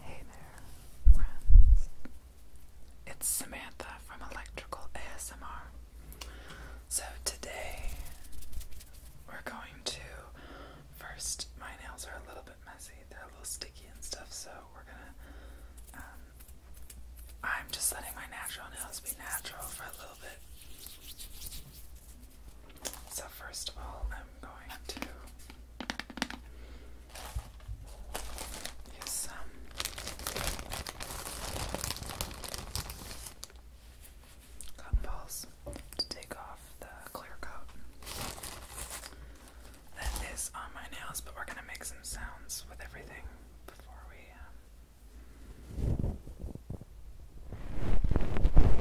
Hey there, friends. It's Samantha from Electrical ASMR. So today we're going to first my nails are a little bit messy. They're a little sticky and stuff, so we're gonna um, I'm just letting my natural nails be natural for a little bit. So first of all, I'm going to use some um, cotton balls to take off the clear coat that is on my nails, but we're going to make some sounds with everything before we. Um,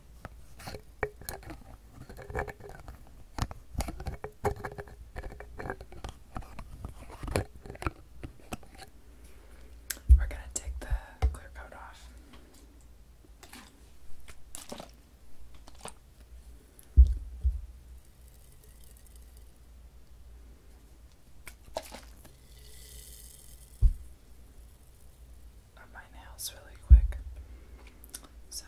We're going to take the clear coat off on my nails really quick. So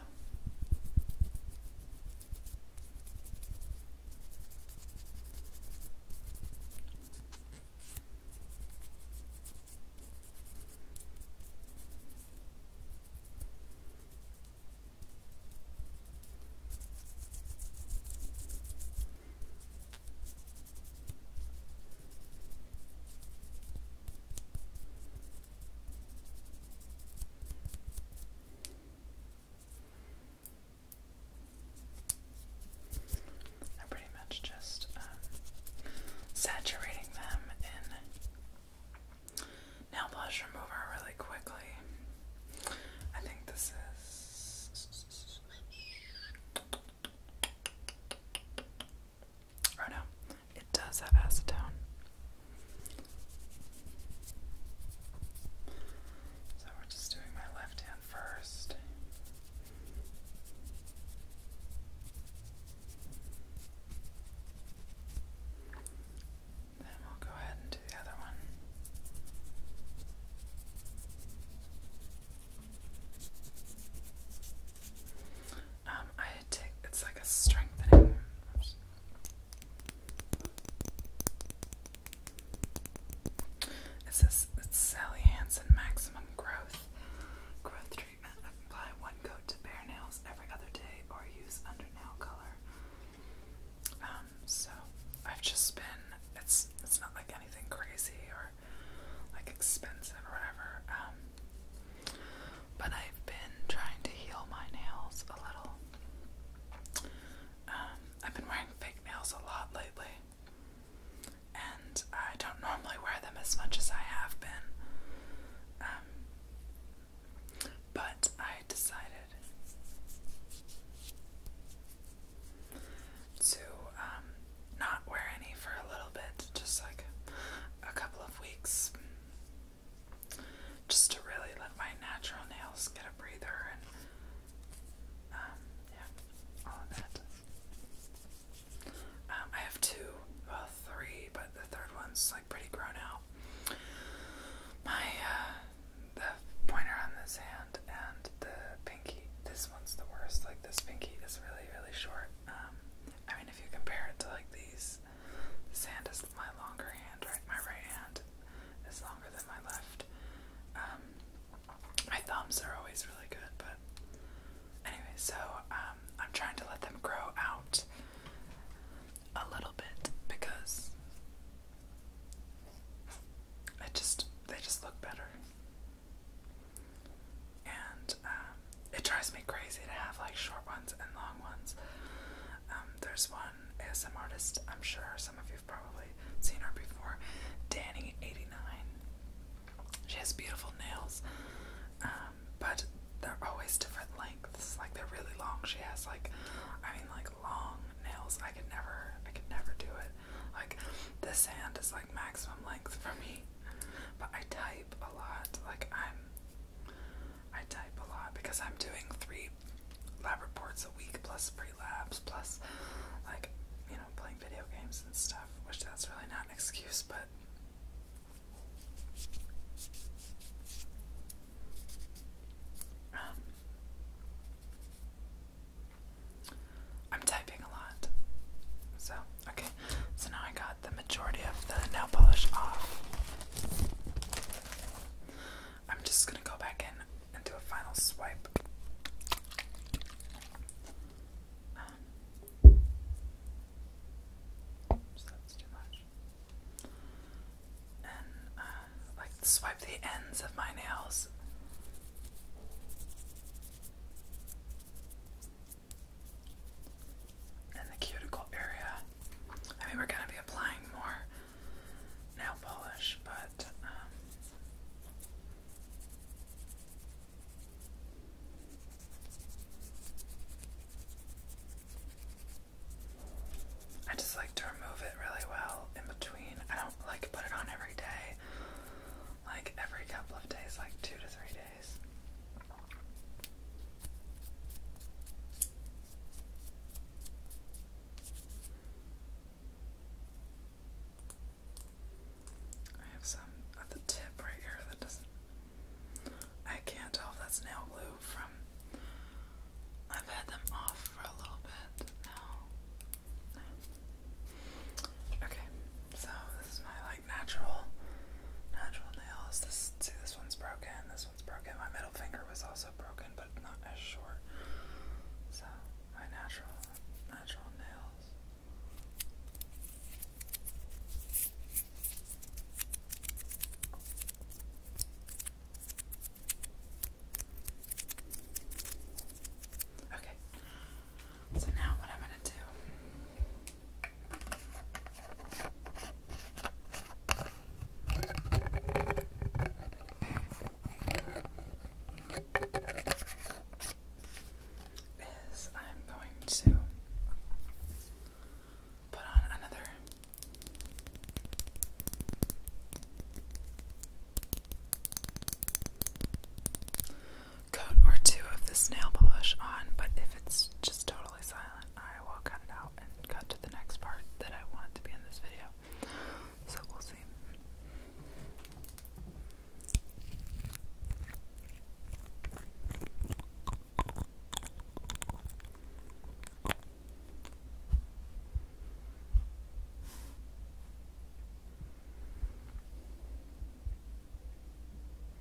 I'm pretty much just um, saturating them in nail polish remover really quickly. I think this is Oh no, it does have acetone. So we're just doing my left hand first. Then we'll go ahead and do the other one. Um, I take it's like a strengthening. It says Sally Hansen Maximum Growth Growth Treatment. Apply one coat to bare nails every other day, or use under nail color. Um, so I've just been. It's it's not like anything crazy or like expensive or whatever. Um, but I've been trying to heal my nails a little. Um, I've been wearing fake nails a lot lately, and I don't normally wear them as much as I have been. Um, but I decided to um, not wear any for a little bit, just like a couple of weeks just to really let my natural nails get a breather and um, yeah, all of that. Um, I have two, well, three, but the third one's like pretty grown out. My, uh, the pointer on this hand and the pinky, this one's the worst. Like, this pinky is really, really short. Um, I mean, if you compare it to like these, sand is my longer hand, right? My right hand is longer than my left. Um, my thumbs are always really good, but anyway, so um, I'm trying to let them grow out a little bit because it just they just look better and um, it drives me crazy to have like short ones and long ones. Um, there's one ASM artist, I'm sure some of you've probably seen her before, Danny89. She has beautiful nails, um, but they're always different lengths. Like they're really long. She has like, I mean, like long nails. I could never, I could never do it. Like this hand is like maximum length for me. But I type a lot. Like I'm I type a lot because I'm doing three lab reports a week plus pre-labs plus like, you know, playing video games and stuff, which that's really not an excuse, but um, I'm typing a lot. So Okay, so now I got the majority of the nail polish off. I'm just gonna go back in and do a final swipe. Um, so that's too much. And uh, like swipe the ends of my nails in the cuticle area. I mean, we're going to be applying more nail polish, but um, I just like to remove it really well in between. I don't like put it on every day, like every couple of days, like two to three days. I have some at the tip right here that doesn't. I can't tell if that's nail glue from. I've had them off for a little bit now. Okay, so this is my natural, natural nails. This see, this one's broken. This one's broken. My middle finger was also broken, but not as short. So my natural, natural nails. Okay. So now what I'm gonna do is I'm going to put on another coat or two of this nail polish on, but if it's just totally silent, I will cut it out and cut to the next part that I want to be in this video. So we'll see.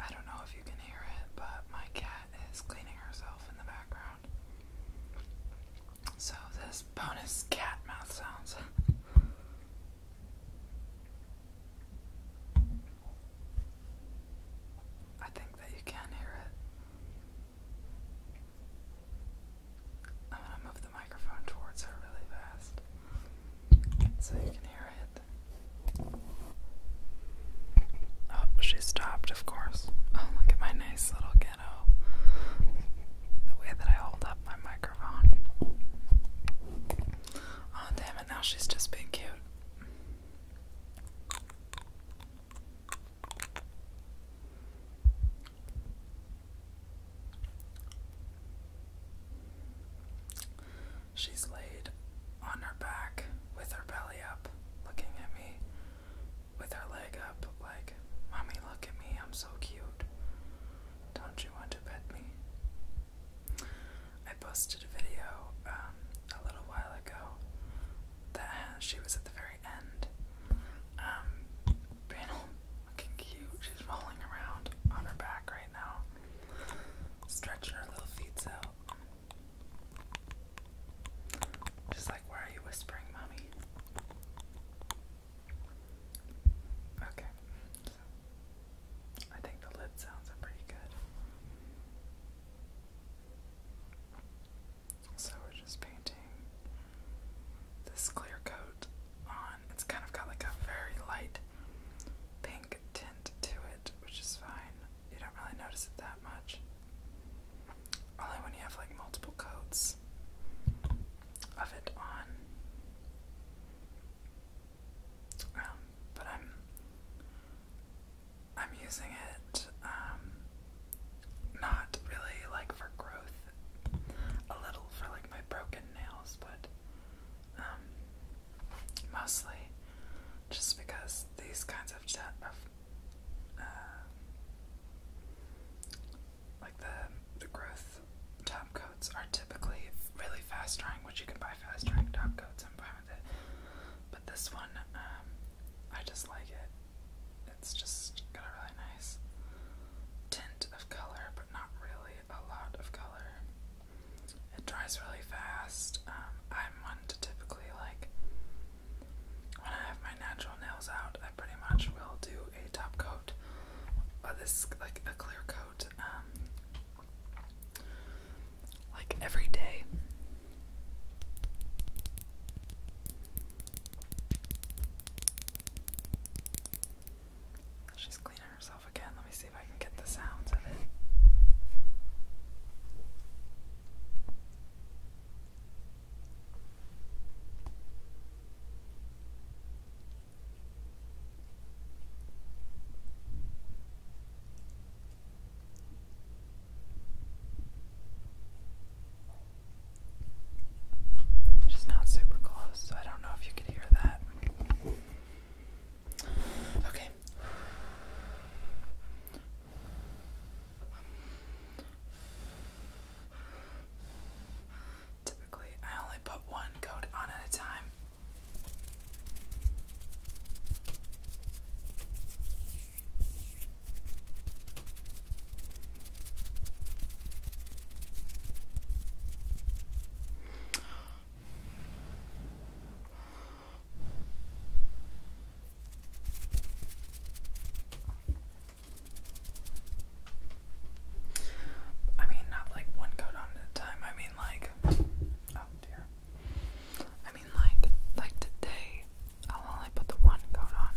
I don't know if you can hear it, but my cat is cleaning herself in the background. So, this bonus cat mouth sounds. I think that you can hear it. I'm gonna move the microphone towards her really fast so you can hear it. Oh, she stopped, of course. Oh, look at my nice little ghetto. The way that I hold up my microphone. Oh, damn it, now she's just being cute. She's laid on her back with her belly up, looking at me with her leg up, like, Mommy, look at me, I'm so cute. Don't you want to pet me? I posted a video um, a little while ago that she was at the very end, um, panel Looking cute. She's rolling around on her back right now. Stretching her little feet out. She's like, why are you whispering, mommy? Okay. I think the lid sounds are pretty good. So we're just painting this clear coat on. It's kind of got like a very light pink tint to it, which is fine. You don't really notice it that much. Only when you have like multiple coats of it on. Um, but I'm I'm using it um, not really like for growth a little for like my broken nails, but um, mostly just because these kinds of, of uh, like the the growth top coats are typically really fast drying, which you can buy fast drying top coats. I'm fine with it, but this one um, I just like it. It's just got a really nice tint of color, but not really a lot of color. It dries really fast. Um, I'm one to typically like when I have my natural nails out, I pretty much will do a top coat. Uh, this like a clear coat, um, like every day. She's cleaning herself again. Let me see if I can get the sounds of it. Just not super close, so I don't know if you could hear that. Okay. Typically, I only put one coat on at a time. I mean, not like one coat on at a time. I mean, like, oh dear. I mean, like, like today, I'll only put the one coat on.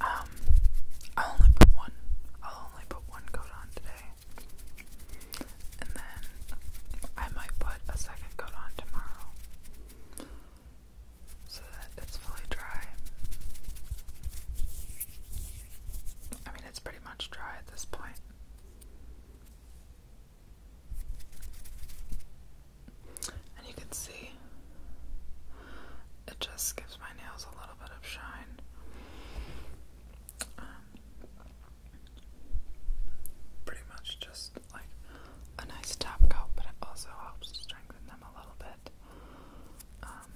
Um, I'll only put one. I'll only put one coat on today. And then I might put a second coat on tomorrow. So that it's fully dry. I mean, it's pretty much dry at this point. And you can see it just gives my nails a little bit of shine. Um, pretty much just like a nice top coat, but it also helps strengthen them a little bit. Um,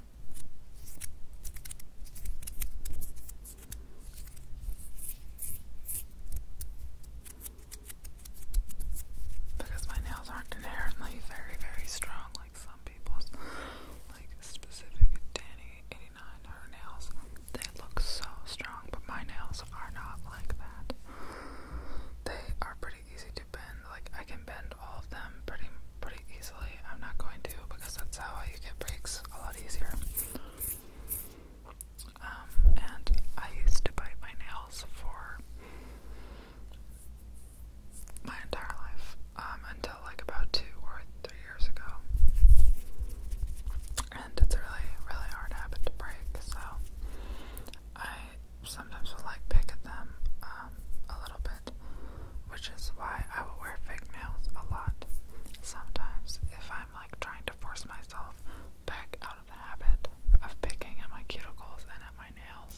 because my nails aren't inherently very, very strong like some people's. Like specific Danny 89, her nails, they look so strong, but my nails are not like that. They are pretty easy to bend. Like I can bend all of them pretty pretty easily. I'm not going to because that's how you get breaks a lot easier. Um, and I used to bite my nails for my entire life um, until like about two or three years ago. And it's really, really hard habit to break, so I sometimes will like pick at them um, a little bit, which is why I will wear fake nails a lot sometimes if I'm like trying to force myself back out the habit of picking at my cuticles and at my nails.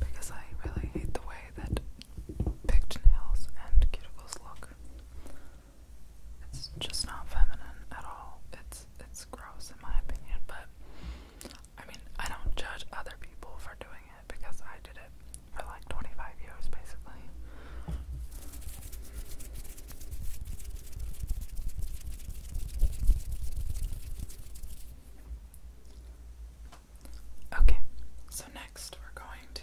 Because I really hate the way that picked nails and cuticles look. It's just not feminine at all. It's it's gross in my opinion, but I mean, I don't judge other people for doing it because I did it for like 25 years basically. Okay, so next we're going to.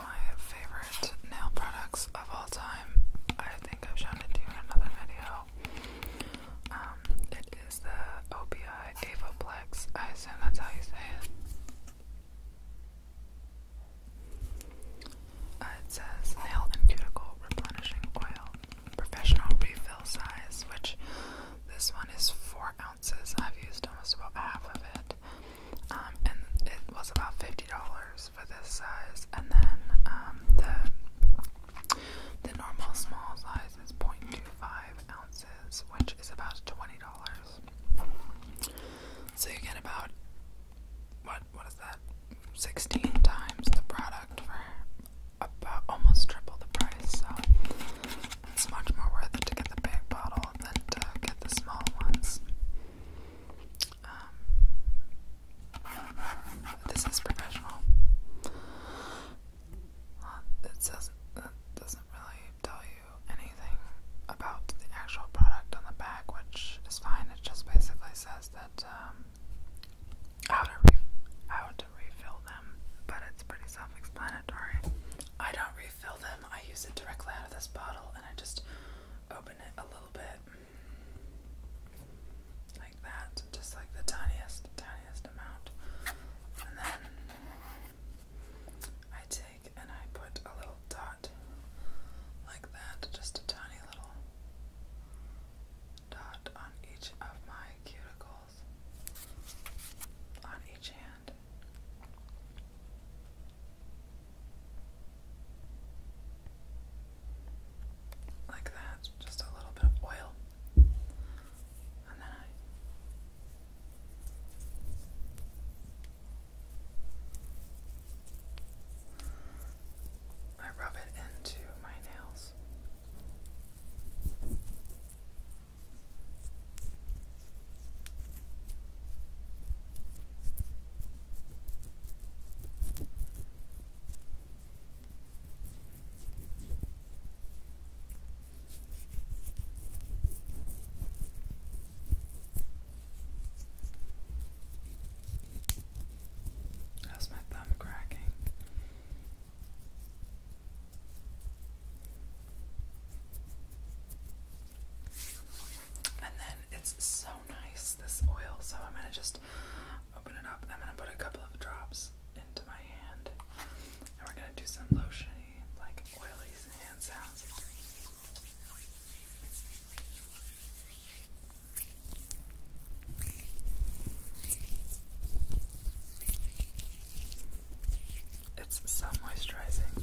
my favorite nail products of all time. I think I've shown it to you in another video. Um, it is the OPI Avoplex. I assume that's how you say it. it says nail and cuticle replenishing oil, professional refill size, which this one is four ounces. I've used almost about half of it. Um, and it was about fifty dollars for this size, and then um, the the normal small size is 0.25 ounces, which is about twenty dollars. So you get about what what is that? Sixteen times the product for about almost triple the price. So it's much more worth it to get the big bottle than to get the small ones. Um, this is professional. Uh, it doesn't really tell you anything about the actual product on the back, which is fine. It just basically says that um, how to how to refill them, but it's pretty self-explanatory. I don't refill them. I use it directly out of this bottle, and I just open a little bit like that, just like the tiniest, tiniest amount. And then I take and I put a little dot like that, just a tiny little dot on each of my cuticles on each hand. Like that, just a little bit of oil. And then I rub it into my nails. How's my thumb cracking? and then it's so nice this oil so I'm gonna just open it up I'm gonna put a couple of drops into my hand and we're gonna do some lotiony like oily hand sounds it's so moisturizing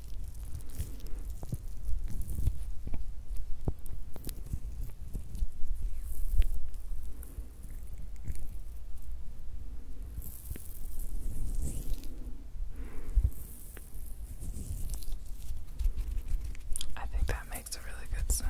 I think that makes a really good sound.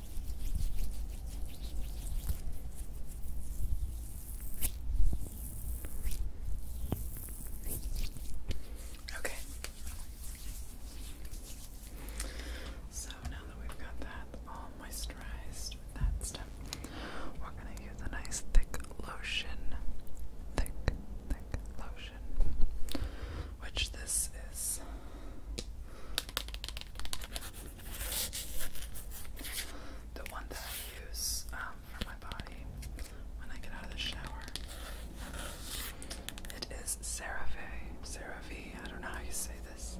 Okay. So now that we've got that all moisturized that stuff, we're going to use a nice thick lotion. Thick, thick lotion. Which this is the one that I use um, for my body when I get out of the shower. It is CeraVe. CeraVe, I don't know how you say this.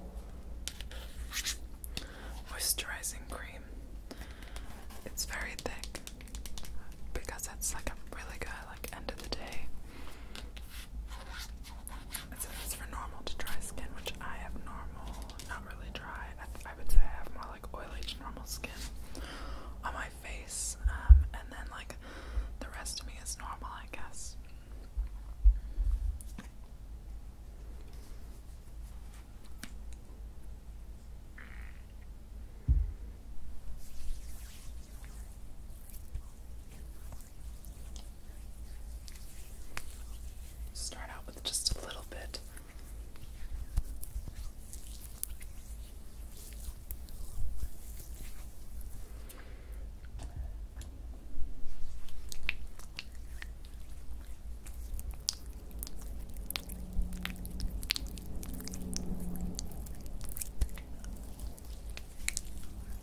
Moisturizing cream. It's very thick because it's like a really good like end of the day. It's for normal to dry skin, which I have normal, not really dry. I, I would say I have more like oily to normal skin on my face, um, and then like the rest of me is normal, I guess. Start out with just a little bit.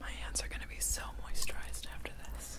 My hands are going to be so moisturized after this.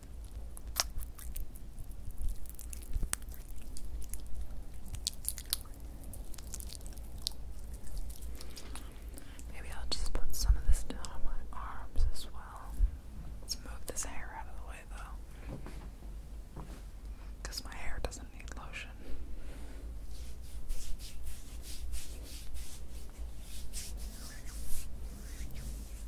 Maybe I'll just put some of this down on my arms as well. Let's move this hair out of the way though. Because my hair doesn't need lotion.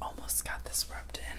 almost got this rubbed in.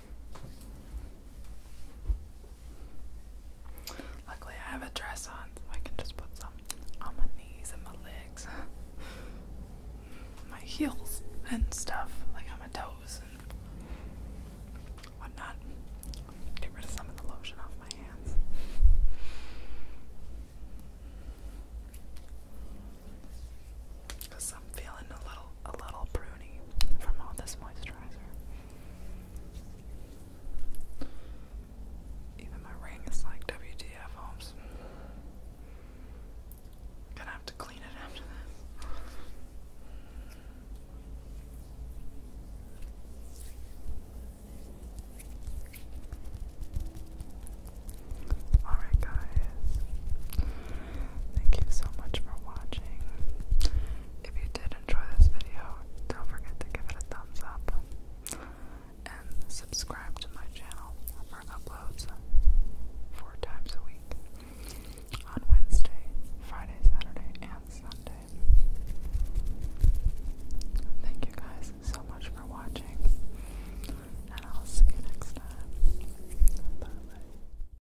Luckily, I have a dress on, so I can just put some on my knees and my legs, my heels, and stuff, like on my toes and whatnot. Get rid of some of the lotion off my hands. Because I'm feeling a little a little pruny from all this moisturizer. Even my ring is like WTF Holmes. Gonna have to clean it after this. Alright, guys. Thank you so much for watching. If you did enjoy this video, don't forget to give it a thumbs up and subscribe to my channel for uploads four times a week on Wednesday, Friday, Saturday, and Sunday. Thank you guys so much for watching, and I'll see you next time. Bye